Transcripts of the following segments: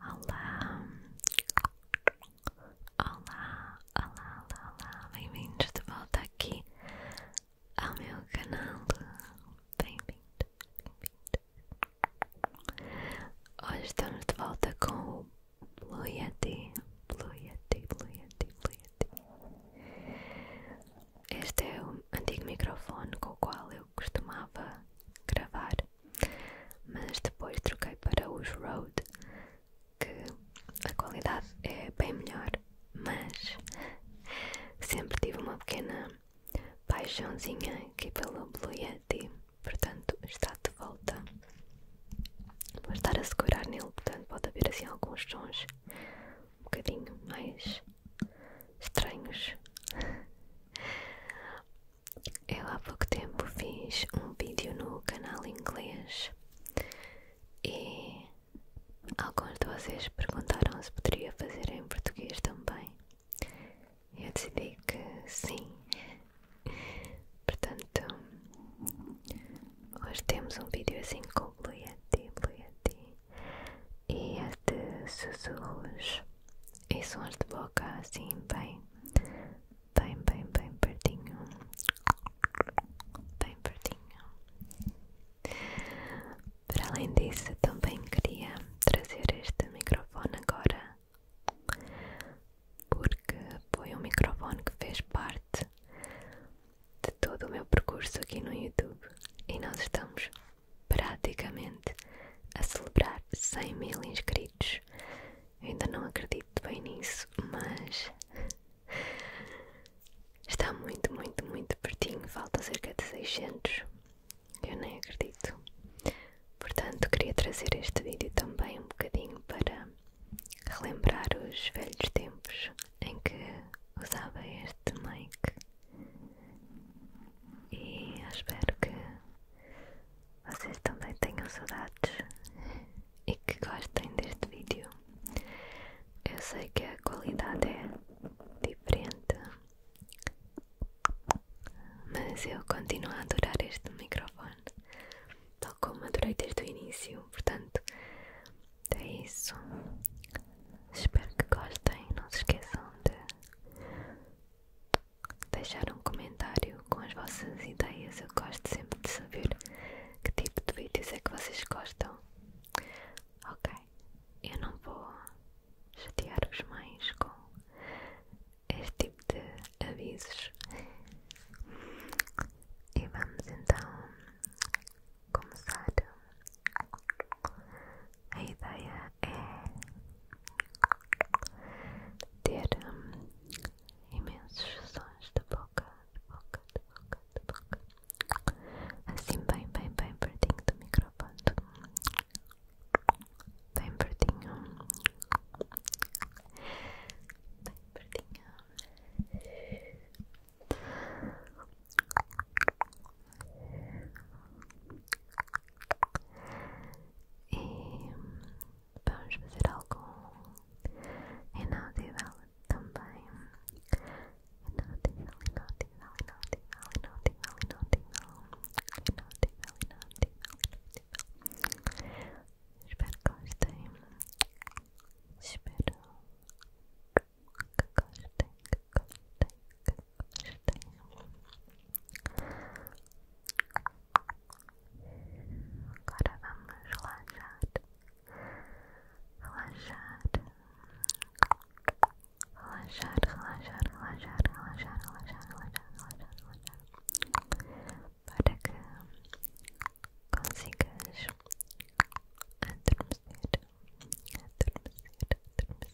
Olá, olá, olá, olá, olá. bem-vindos de volta aqui ao meu canal. Bem-vindo, bem-vindo. Hoje estamos de volta com o Blue Yeti, Blue Yeti, Blue Yeti, Blue Yeti. Este é o antigo microfone com o qual eu costumava gravar mas depois troquei para os Road que a qualidade é bem melhor, mas sempre tive uma pequena paixãozinha aqui pelo Blue Yeti, portanto está de volta. Vou estar a segurar nele, portanto pode haver assim alguns sons um bocadinho mais estranhos. Eu há pouco tempo fiz um vídeo no canal inglês e alguns de vocês perguntaram se poderia fazer em português também. Eu decidi que sim. Portanto, hoje temos um vídeo assim com Luiati, Luiati e este é sussurros e é sons de boca assim bem, bem, bem, bem pertinho, bem pertinho. Para além disso, também queria trazer este microfone agora, porque foi um microfone que fez parte de todo o meu percurso aqui no YouTube e nós estamos praticamente a celebrar 100 mil inscritos. Eu ainda não acredito bem nisso, mas está muito, muito, muito pertinho. Falta cerca de 600. Eu nem acredito. Portanto, queria trazer este vídeo também um bocadinho para relembrar os velhos tempos em que usava este mic. E eu espero que vocês também tenham saudades e que gostem deste vídeo. Eu sei que a qualidade é diferente, mas eu continuo a adorar este microfone, tal como adorei desde o início. Portanto, é isso. Espero que gostem. Não se esqueçam de Deixar um comentário com as vossas ideias. Eu gosto sempre de saber que tipo de vídeos é que vocês gostam. Ok, eu não vou chatear os mais com este tipo de avisos. E vamos então começar. A ideia é ter hum, imensos sons da boca, de boca, de boca, de boca, assim bem, bem, bem pertinho do microfone, bem pertinho, bem pertinho. E vamos fazer algo inaudivel também. Inaudivel, inaudivel, inaudivel, inaudivel, inaudivel, inaudivel, inaudivel, inaudivel. Espero que gostem. Espero que gostem, que gostem, Agora vamos relaxar, relaxar, relaxar, relaxar, relaxar, relaxar, relaxar, relaxar, relaxar, relaxar, para que consigas adormecer, adormecer, adormecer.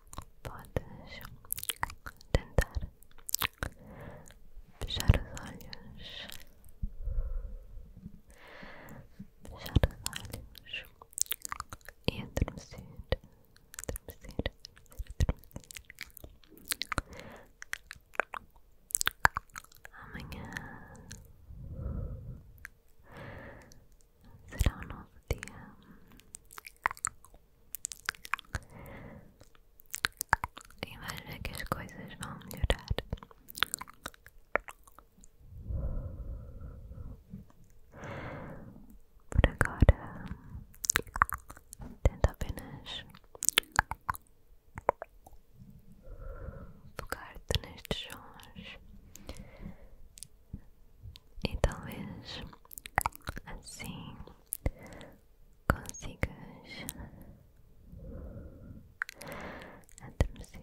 Podes tentar fechar os olhos, fechar os olhos e adormecer, adormecer, adormecer. Amanhã será um novo dia. E vais ver que as coisas vão melhorar. Por agora, tenta apenas focar-te nestes sons e talvez assim consigas adormecer.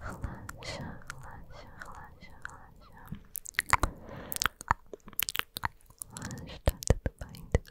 Relaxa, relaxa, relaxa, relaxa. relaxa tá tudo bem, tudo tá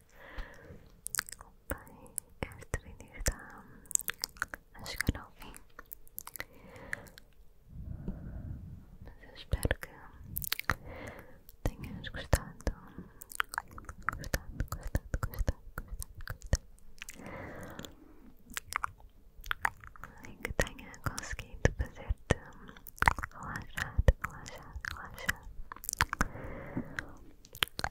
Bem, este vídeo está a chegar ao fim. Mas eu espero que tenhas gostado. Gostado, gostado, gostado, gostado, gostado. E que tenha conseguido fazer-te relaxar, relaxar, relaxar.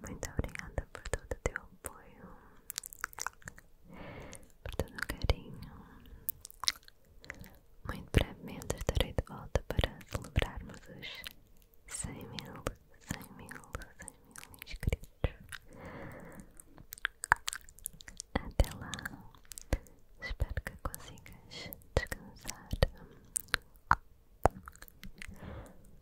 Muito obrigada por todo o teu apoio, por todo o carinho. Muito brevemente estarei de volta para celebrarmos os 100 mil, 100 mil, 100 mil inscritos. Até lá, espero que consigas descansar.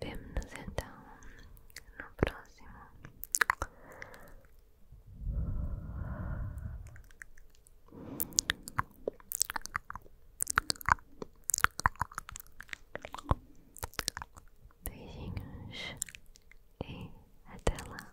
Vemo-nos então no próximo. Beijinhos e até lá.